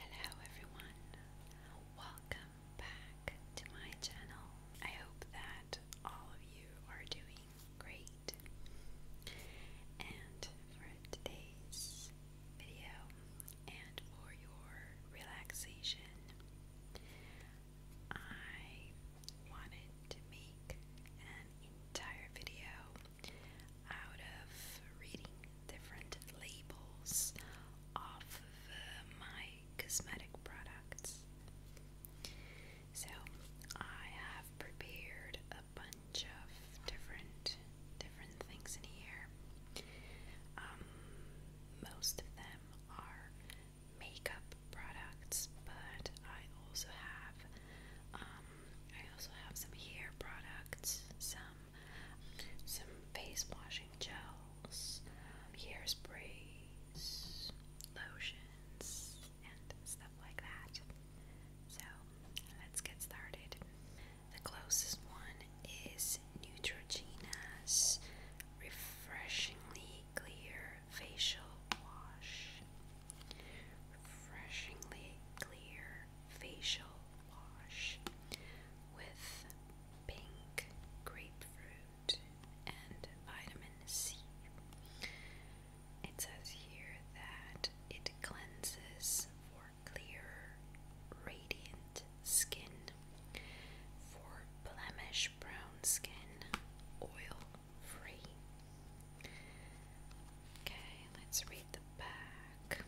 Hello everyone, welcome back to my channel. I hope that all of you are doing great. And for today's video and for your relaxation, I wanted to make an entire video out of reading different labels of uh, my cosmetic products. So, I have prepared a bunch of different different things in here. Um, most of them are makeup products, but I also have um, I also have some hair products, some some face washing gels, hairsprays, lotions, and stuff like that. So let's get started. The closest one is Neutrogena's Refreshingly Clear Facial Wash. Refreshingly clear facial wash with pink grapefruit and vitamin C. It says here that it cleanses for clear, radiant skin, for blemish brown skin, oil free. Okay, let's read the back.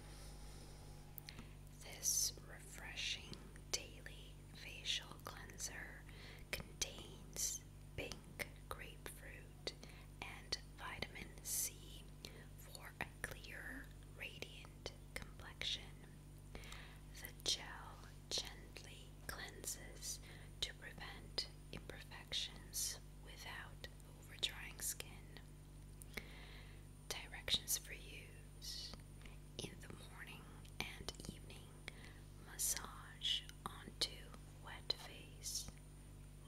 This refreshing daily facial cleanser contains pink grapefruit and vitamin C for a clear, radiant complexion. The gel gently cleanses to prevent imperfections without over-drying skin. Directions for use in the morning and evening. Massage onto wet face.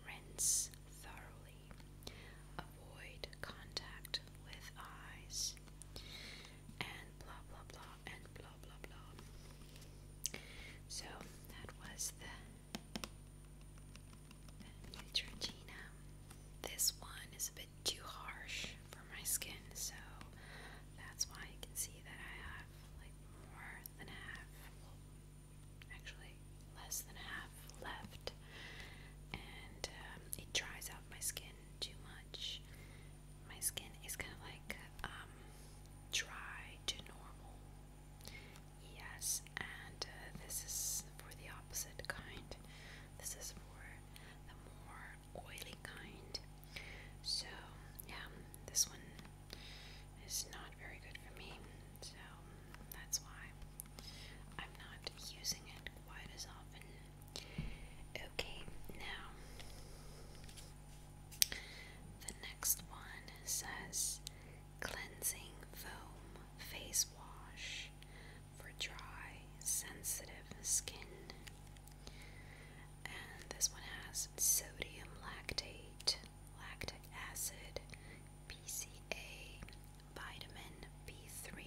Rinse thoroughly. Avoid contact with eyes. And blah blah blah and blah blah blah. So that was the Neutrogena. This one is a bit too harsh for my skin, so that's why you can see that I have like more than half, well, actually less than half left, and um, it dries out my skin too much. My skin is kind of like um, dry to normal, Yes, and uh, this is for the opposite kind. This is for the more oily kind. So, yeah, this one is not very good for me. So, that's why I'm not using it quite as often. Okay, now the next one says cleansing foam face wash for dry, sensitive skin. And this one has sodium lactate, lactic acid, PCA, vitamin B3,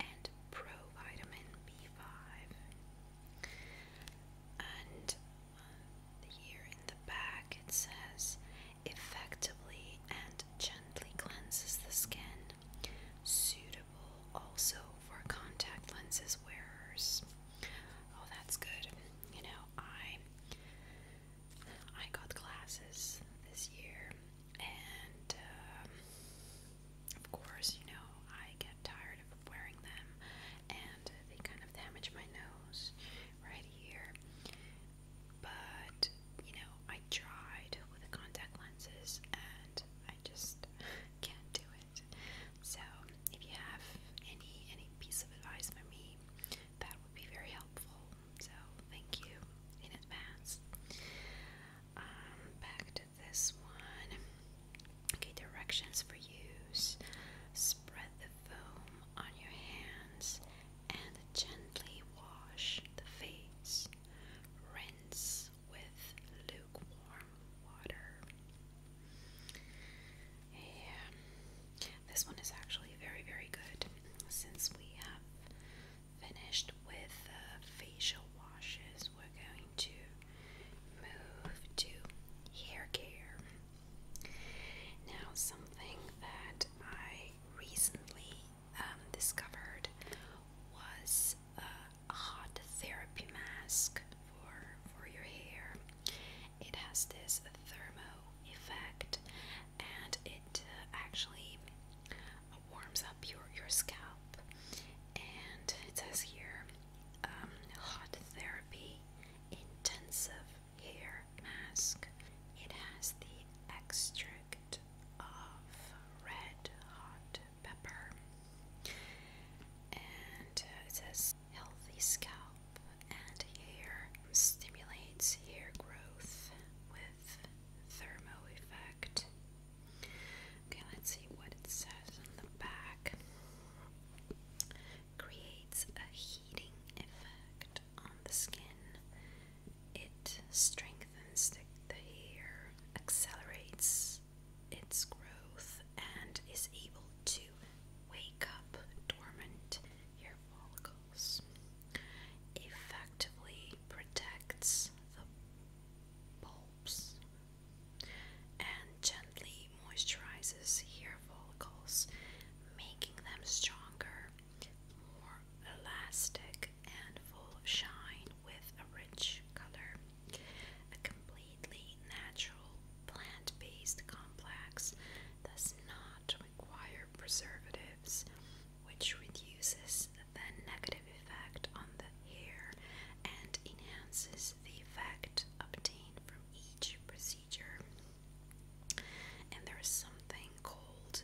and provitamin B5. And uh, here in the back it says effectively and gently cleanses the skin, suitable also for contact lenses wearers. Oh, that's good. You know, I I got glasses this year, and um, of course, you know, I get tired of wearing them, and they kind of damage my nose right here but you know, I tried with the contact lenses and I just can't do it. So, if you have any any piece of advice for me, that would be very helpful. So, thank you in advance. Um, back to this one. Okay, directions for use. Spread the foam on your hands and gently wash the face. Rinse with lukewarm water. Yeah, this one is actually very, very good since we have finished with facial washes. We're going to move to hair care. Now, something that I recently um, discovered was a hot therapy mask for for your hair. It has this thermo effect, and it uh, actually warms up your your scalp. And it says here, um, hot therapy intensive hair mask. It has the extract of red hot pepper. And uh, it says healthy scalp and hair stimulates hair growth with thermo effect. Okay, let's see what it says on the back. Creates a heating effect on the skin, it strengthens the, hair, accelerates its growth, and is able to wake up dormant hair follicles. Effectively protects the bulbs and gently moisturizes hair follicles, making them stronger more elastic and full of shine with a rich color. A completely natural plant based complex does not require preservatives, which reduces the negative effect on the hair and enhances the effect obtained from each procedure. And there is something something called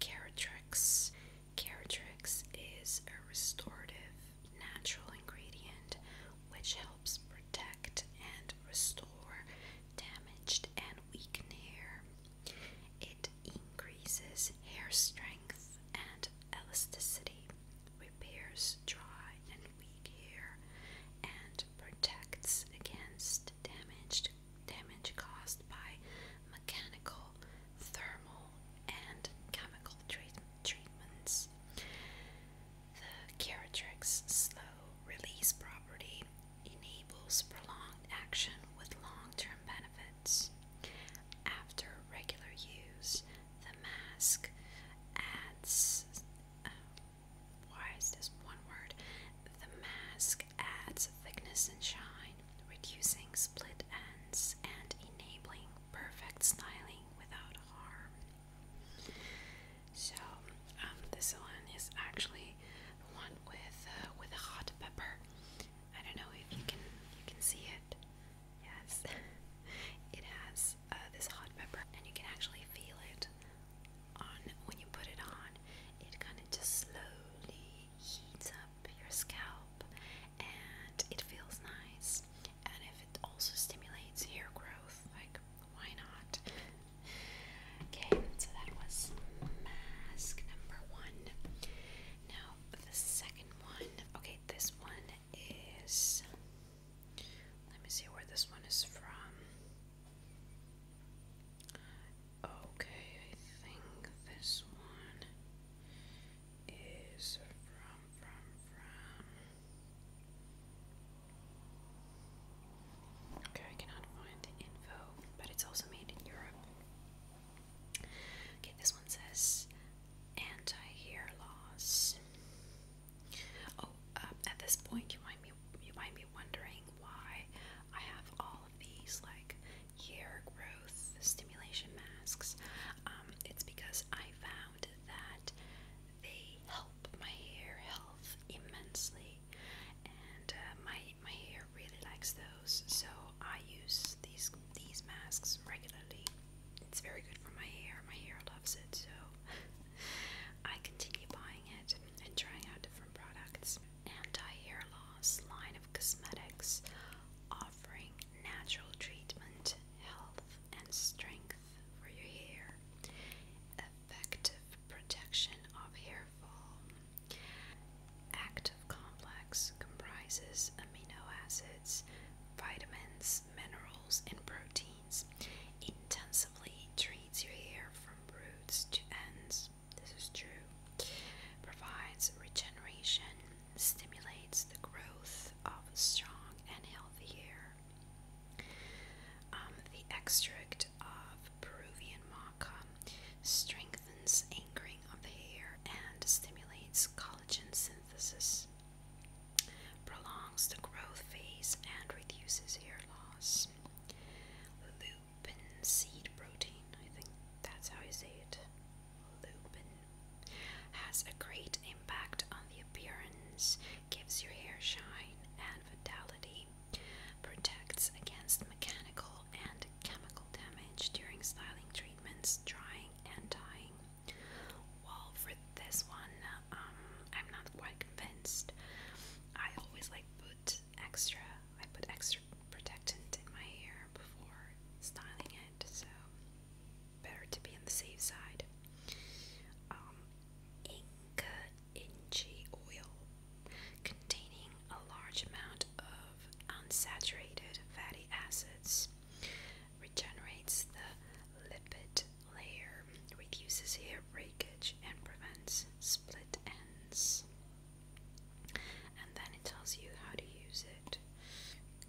Caratrix. Caratrix is a restorative natural ingredient which helps protect and restore damaged and weakened hair. It increases hair strength and elasticity, repairs dry and weak hair, and protects against damaged damage caused by mechanical, thermal, and chemical treat treatments. The Caratrix slow release property enables prolonged action with long term benefits. After regular use, the mask adds. Uh, this one word? The mask adds thickness and shine, reducing split ends and enabling perfect styling without harm. So um, this one is actually one with uh, with hot pepper. I don't know if you can you can see it. Yes, it has uh, this hot pepper, and you can actually feel it on when you put it on, it kind of just slowly heats up your scalp and it feels nice. And if it also stimulates hair growth, like why not? okay, so that was mask number one. Now, the second one, okay, this one is. Let me see where this one is from. Okay, I think this one is from, Okay, I cannot find the info, but it's also made in Europe. Okay, this one says anti hair loss. Oh, um, at this point, you might be you might be wondering why I have all of these like hair growth stimulation masks. Um, it's because I found that they help my hair health immensely, and uh, my my hair really likes those. So I use these these masks regularly. It's very good for my hair. My hair loves it, so I continue buying it and trying out different products anti-hair loss line of cosmetics offering natural treatment, health and strength for your hair, effective protection of hair fall. Active complex comprises amino acids, vitamins, minerals and proteins. Intensively treats your hair from roots to ends this is true, provides regeneration, stimulates the growth of strong and healthy hair. Um, the extract of Peruvian maca strengthens anchoring of the hair and stimulates collagen synthesis, prolongs the growth phase, and reduces hair loss lupin seed protein, I think that's how I say it. Lupin has a great impact on the appearance, gives your hair shine and vitality, protects against mechanical and chemical damage during styling treatments, drying and dyeing. Well, for this one, um, I'm not quite convinced. I always like put extra. I put extra protectant in my hair before styling it, so better to be on the safe side. Inca um, Inchi oil containing a large amount of unsaturated fatty acids regenerates the lipid layer, reduces hair breakage, and prevents split ends and then it tells you how to use it.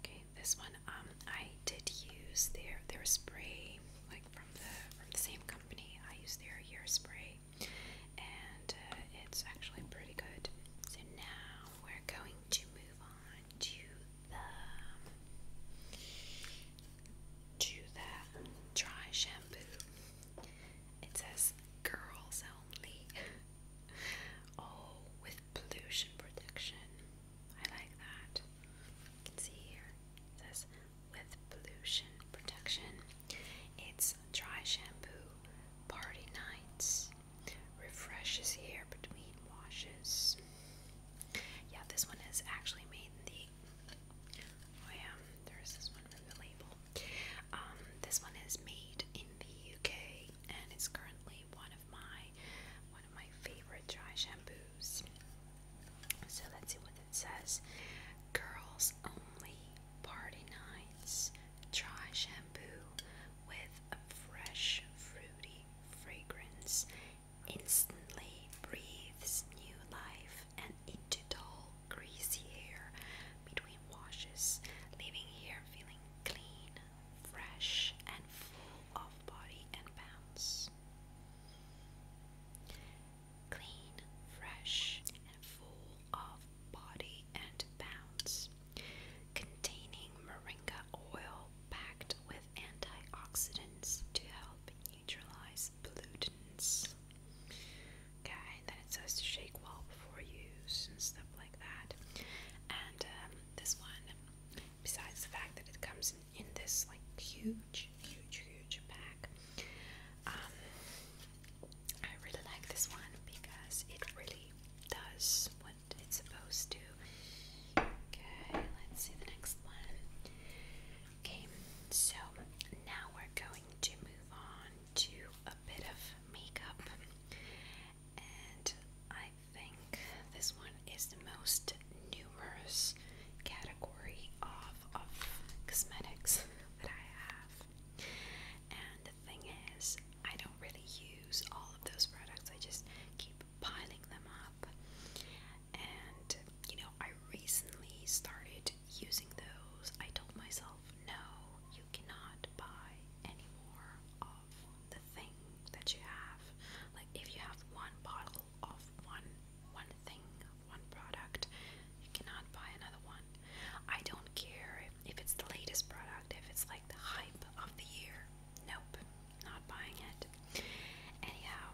Okay, this one um I did use their their spray like from the from the same company. I use their year spray, and uh, it's actually pretty good. So now we're going to move on to the to the dry shampoo. It says girls only. oh, with pollution protection. I like that. You can see here. It says with pollution protection. It's dry shampoo, party nights, refreshes hair between washes. Yeah, this one is actually made the. Oh yeah, there's this one from the label. Um, this one is made in the UK and it's currently one of my one of my favorite dry shampoos. So let's see what it says. Girls only party nights dry shampoo with a fresh fruity fragrance instantly breathes new life and into dull, greasy hair between washes, leaving hair feeling clean, fresh, and full of body and bounce. Clean, fresh, and full of body and bounce. Containing moringa oil packed with antioxidants to help neutralize pollutants. Okay, and then it says to shake well before use and stuff like that. And um, this one, besides the fact that it comes in, in this like huge, huge, huge pack, um, I really like this one because it really does what it's supposed to. Okay, let's see the next one. Okay, so now we're going to move on do a bit of makeup, and I think this one is the most numerous category of, of cosmetics that I have. And the thing is, I don't really use all of those products, I just keep piling them up. And you know, I recently started using those. I told myself no, you cannot buy any more of the thing that you have. Like if you have one bottle of one one thing, one product, you cannot buy another one. I don't care if it's the latest product, if it's like the hype of the year. Nope, not buying it. Anyhow,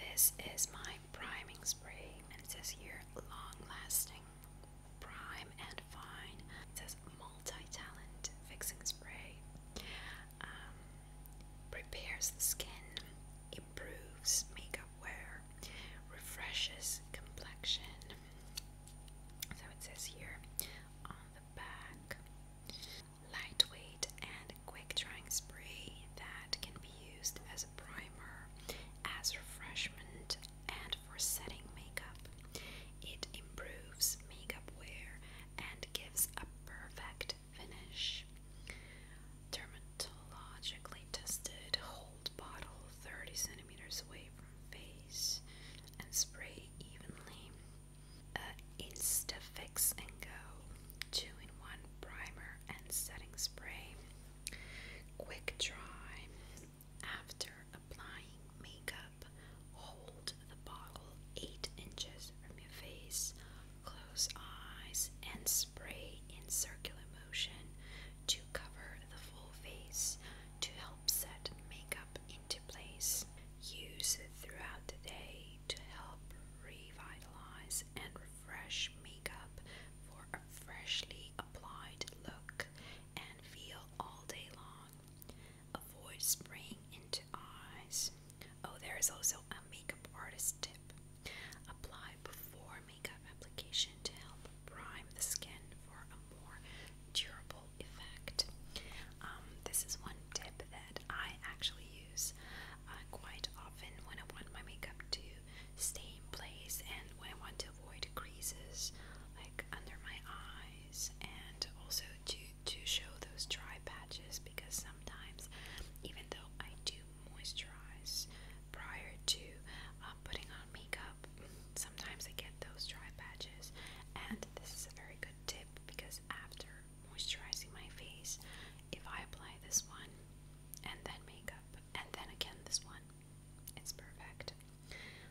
this is my priming spray and it says here long lasting Prime and Fine. It says multi-talent fixing spray. Um, prepares the skin, improves makeup wear, refreshes complexion. So it says here on the back. Lightweight and quick drying spray that can be used as as a primer, as refreshment, and for setting makeup. It improves makeup wear and gives a perfect finish. Dermatologically tested, hold bottle 30 centimeters away from face and spray evenly. Uh, Insta Fix and Go 2 in 1 primer and setting spray. Quick dry. After applying makeup, hold the bottle 8 inches from your face, close eyes, and spray in circular motion to cover the full face to help set makeup into place. Use it throughout the day to help revitalize and refresh makeup for a freshly look and feel all day long. Avoid spraying into eyes. Oh, there is also a makeup artist tip. Apply before makeup application to help prime the skin for a more durable effect. Um, this is one tip that I actually use uh, quite often when I want my makeup to stay in place and when I want to avoid creases like under my eyes and also to to show those dry patches because sometimes even though I do moisturize prior to uh, putting on makeup sometimes I get those dry patches and this is a very good tip because after moisturizing my face if I apply this one and then makeup and then again this one it's perfect.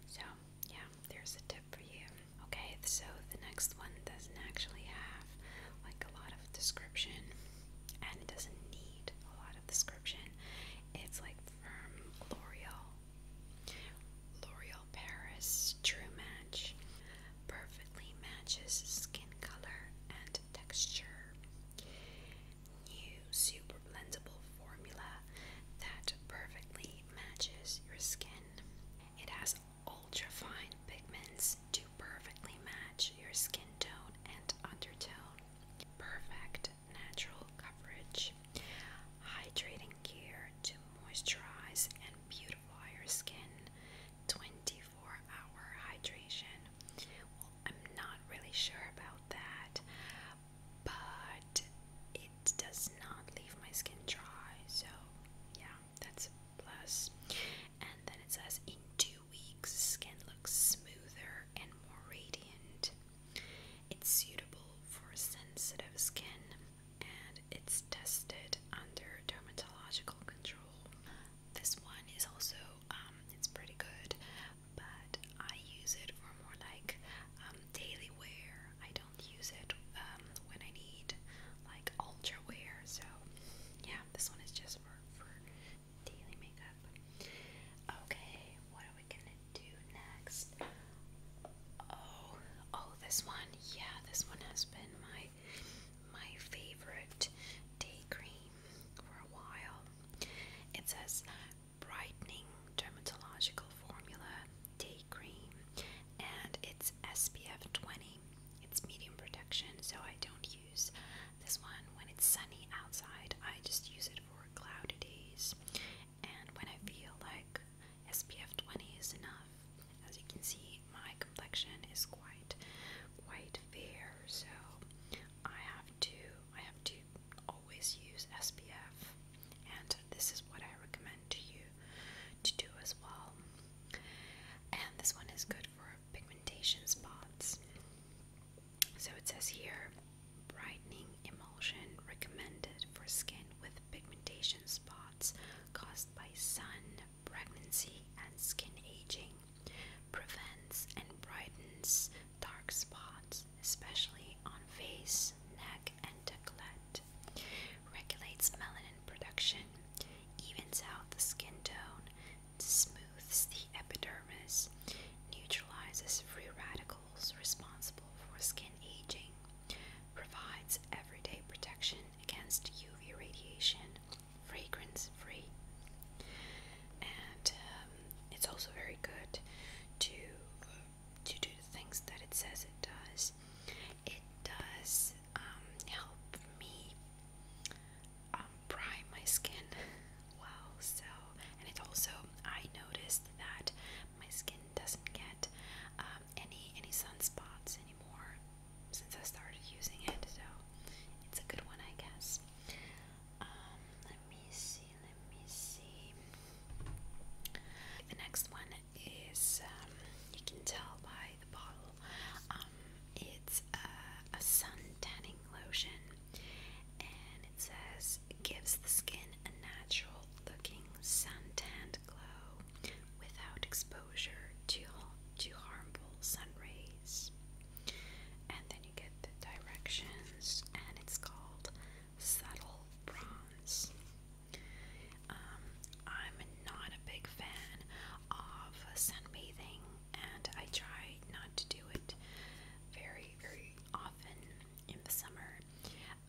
So, yeah, there's a tip for you. Okay, so the next one doesn't actually have like a lot of description and it doesn't need a lot of description. It's like from L'Oreal. L'Oreal Paris True Match perfectly matches skin color and texture new super blendable formula that perfectly matches your skin. It has ultra fine pigments to perfectly match your skin tone and undertone. Perfect natural coverage. Hydrating care to moisturize and beautify your skin. 24 hour hydration I'm not really sure about that, but it does not leave my skin dry, so yeah, that's plus. And then it says in two weeks, skin looks smoother and more radiant. It's suitable for sensitive skin and it's tested under dermatological control. This one is also um, it's pretty good but I use it for more like um, daily wear. I don't use it um, when I need like ultra wear. So yeah, this one is just for for daily makeup. Okay, what are we gonna do next? Oh, oh, this one. Yeah, this one has been my my favorite day cream for a while. It says brightening dermatological formula day cream and it's SPF 20. It's medium protection, so I don't use this one when it's sunny outside. I just use it for cloudy days and when I feel like SPF 20 is enough. As you can see, my complexion is quite quite fair, so I have to I have to always use SPF, and this is what I recommend to you to do as well. And this one is good for pigmentation spots. So it says here brightening emulsion recommended for skin with pigmentation spots caused by sun, pregnancy, and skin aging prevents and brightens dark spots, especially on face, neck, and decollete, regulates melanin production, evens out the skin tone, smooths the epidermis, neutralizes free radicals responsible for skin aging, provides everyday protection against UV radiation, fragrance free and um, it's also very good to to do the things that it says it does. It does um, help me um, prime my skin well. So, and it also I noticed that my skin doesn't get any any sunspots anymore since I started using it. So, it's a good one, I guess. Um, let me see, let me see. The next one is um, you can tell by the bottle. Um, it's a, a sun tanning lotion, and it says it gives the skin a natural looking sun tanned glow without exposure to to harmful sun rays. And then you get the directions, and it's called Subtle Bronze. Um, I'm not a big fan of sunbathing, and I try not to do it very, very often in the summer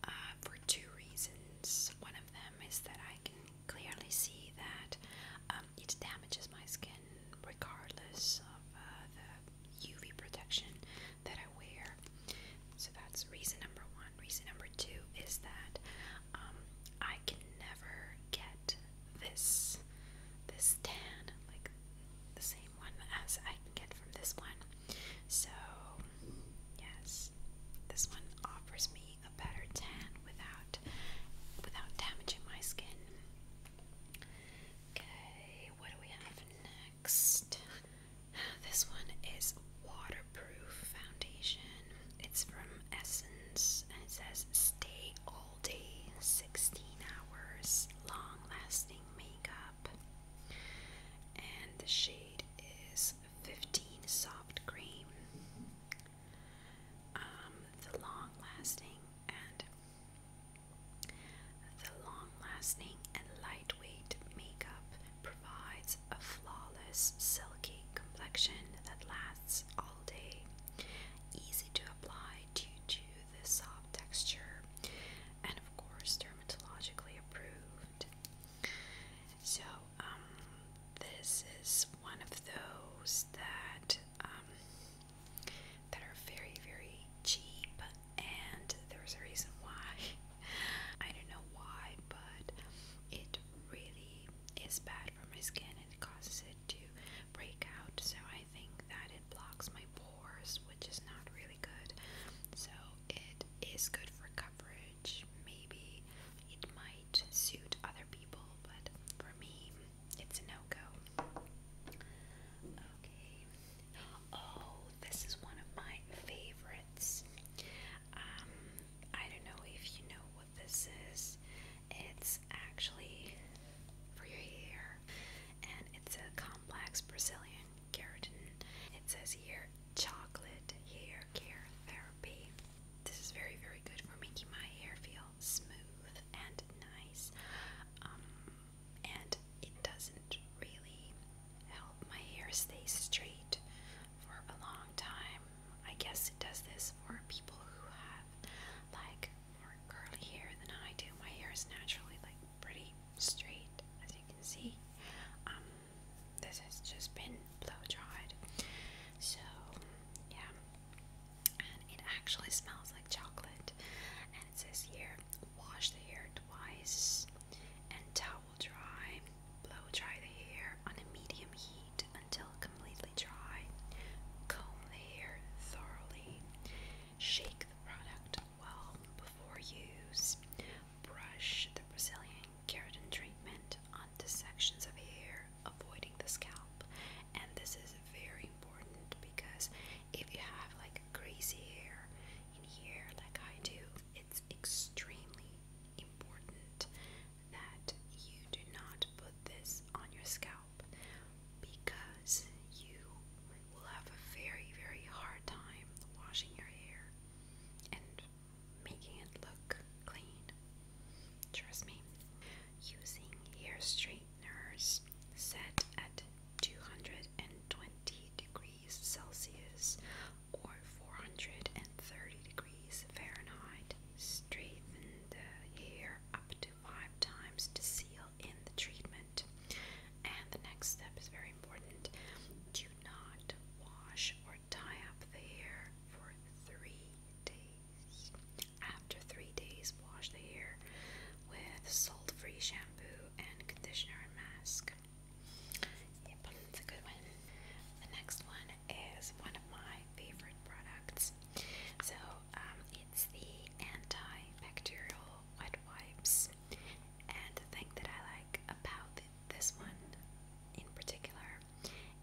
uh, for two reasons. One of them is that I can clearly see that um, it damages my skin regardless of uh, the UV protection that I wear. So that's reason number one. Reason number two is that um, I can never get this this tan like the same one as I can get from this one. So yes, this one offers me a better tan without without damaging my skin. Okay, what do we have next? This one is waterproof foundation. It's from Essence and it says stay all day, 16 hours, long lasting makeup. And the shade is 15 soft cream. Um, the long lasting and the long lasting and lightweight makeup provides a flawless, silky complexion that lasts all day. Easy to apply due to the soft texture, and of course, dermatologically approved. So, um, this is one of those that um, that are very, very cheap, and there's a reason why. I don't know why, but it really is bad for my skin and it causes it to break out. So I think that it blocks my pores, which is not really good. So it is good for coverage. Maybe it might suit other people, but for me, it's a no-go. Okay. Oh, this is one of my favorites. Um, I don't know if you know what this is. It's actually for your hair, and it's a complex Brazilian keratin. It says here chocolate hair care therapy. This is very, very good for making my hair feel smooth and nice. Um, and it doesn't really help my hair stay straight for a long time. I guess it does this for people who have like more curly hair than I do. My hair is naturally like pretty straight, as you can see. Um, this has just been blow dried, so yeah and it actually smells like chocolate. And it says here wash the hair twice and towel dry, blow dry the hair on a medium heat until completely dry, comb the hair thoroughly, shake the product well before use, brush the Brazilian keratin treatment onto sections of hair, avoiding the scalp. And this is very important because if you have like crazy hair in here, like I do, it's extremely important that you do not put this on your scalp because you will have a very, very hard time washing your hair and making it look clean. Trust me, using hair straightener sweeteners set at 220 degrees Celsius or 430 degrees Fahrenheit. Straighten the hair up to five times to seal in the treatment. And the next step is very important. Do not wash or tie up the hair for three days. After three days, wash the hair with salt free shampoo and conditioner and mask. Yep, it's a good one. The next one is one of my favorite products. So, um, it's the antibacterial wet wipes. And the thing that I like about this one in particular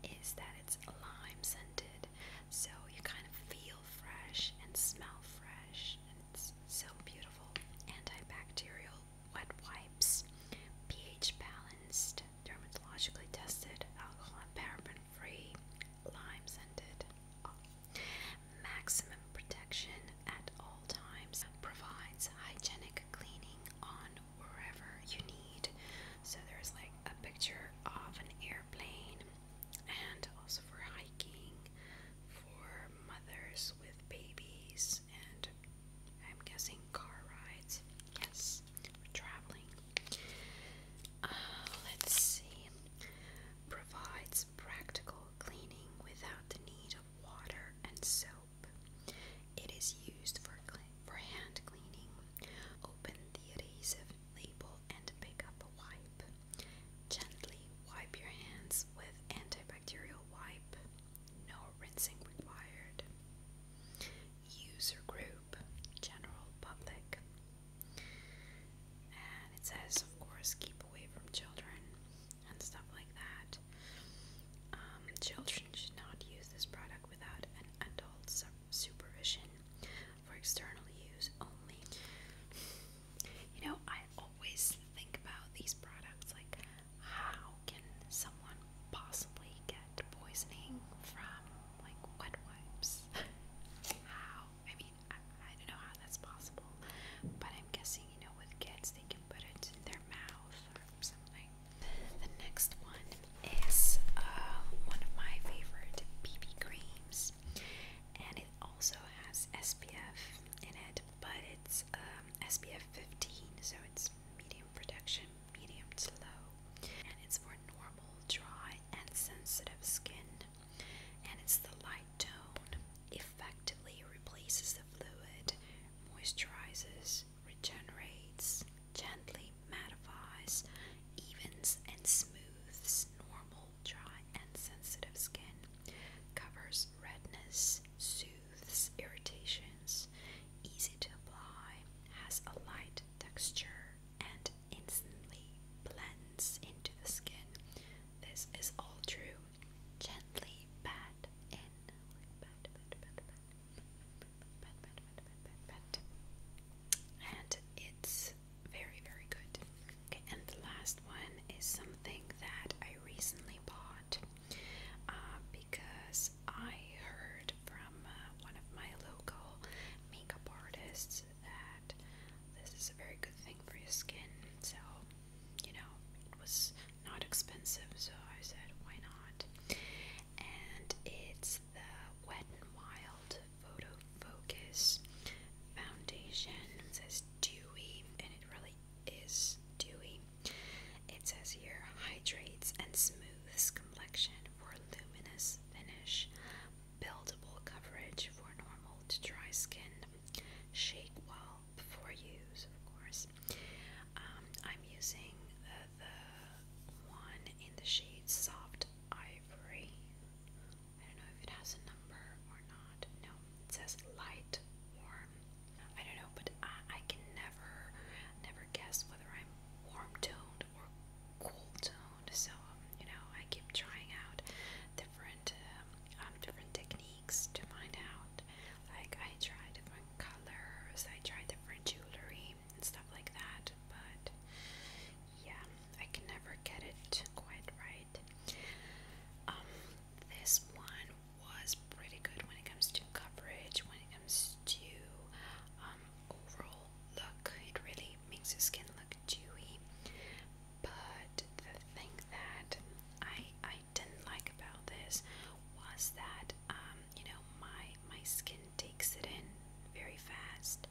is that it's lime scented, so you kind of feel fresh and smell fresh. And it's so beautiful. Antibacterial wet wipes, pH balanced, dermatologically tested, alcohol and paraben free, lime scented. Oh. Maximum protection at all times. Provides hygienic cleaning on wherever you need. So there's like a picture of an airplane and also for hiking, for mothers with babies, and I'm guessing car rides. Yes, traveling. Uh, let's see. Provides practical cleaning without the need of water and soap. It is used for for hand cleaning. Open the adhesive label and pick up a wipe. Gently wipe your hands with antibacterial wipe. No rinsing required. User group, general public. And it says, of course, keep away from children and stuff like that. Um, children should not use this product without an adult supervision for external use only. You know, I always think about these products like, how can someone possibly get poisoning from like wet wipes? how? I mean, I, don't know how that's possible, but I'm guessing, you know, with kids, they can put it in their mouth or something. The next one is uh, one of my favorite BB creams, and it also has SPF in it, but it's um, SPF 15, so it's medium protection, medium to low, and it's for normal, dry, and sensitive skin. And it's the light tone, effectively replaces the fluid, moisturizes, regenerates, gently mattifies, evens, and smooths normal dry, and sensitive skin, covers redness, soothes irritations, easy to apply, has a light texture, and instantly blends into the skin. This is all true. Gently pat in. Pat, pat, pat, pat. Pat, pat, pat, pat, pat, pat. And it's very, very good. Okay, and the last one is something that I recently bought uh, because I heard from uh, one of my local makeup artists that this is a very good thing for your skin. So, you know, it was not expensive, so I said, why not? And it's the Wet n Wild Photo Focus Foundation. It says dewy, and it really is dewy. It says here hydrates and smooths complexion for luminous finish, buildable coverage for normal to dry skin. Shake well before use, of course. Um, I'm using the one in the shade Soft Ivory. I don't know if it has a number or not. No, it says light warm. I don't know, but I, can never, never guess whether I'm warm toned or cool toned. So um, you know, I keep trying out different, um, um, different techniques to find out. Like I try different colors, I try different jewelry and stuff like that. But yeah, I can never get it quite right. Um, this one was pretty good when it comes to coverage, when it comes to um, overall look. It really makes your skin look dewy. But the thing that I I didn't like about this was that um, you know my my skin takes it in very fast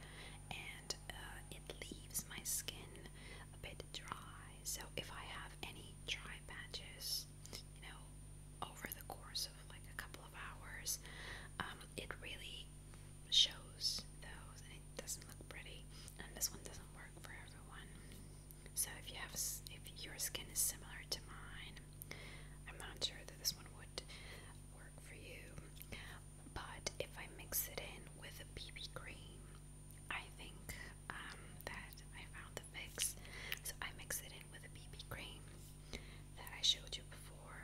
and uh, it leaves my skin a bit dry. So if I have any dry patches, you know, over the course of like a couple of hours, um, it really shows those and it doesn't look pretty. And this one doesn't work for everyone. So if you have, if your skin is similar to mine, I'm not sure that this one would work for you. But if I mix it in with a BB cream, I think um, that I found the fix. So I mix it in with a BB cream that I showed you before,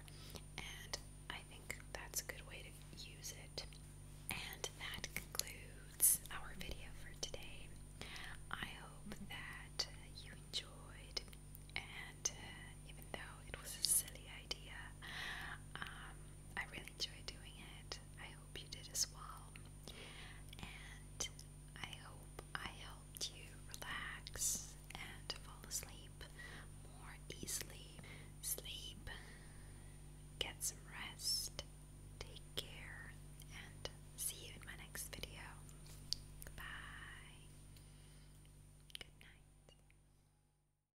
and I think that's a good way to use it. And that concludes our video for today. I hope that you enjoyed, and uh, even though it was a silly idea, um, I really enjoy doing it. I hope you did as well. And I hope I helped you relax and fall asleep more easily. Sleep, get some rest, take care, and see you in my next video. Bye. Good night.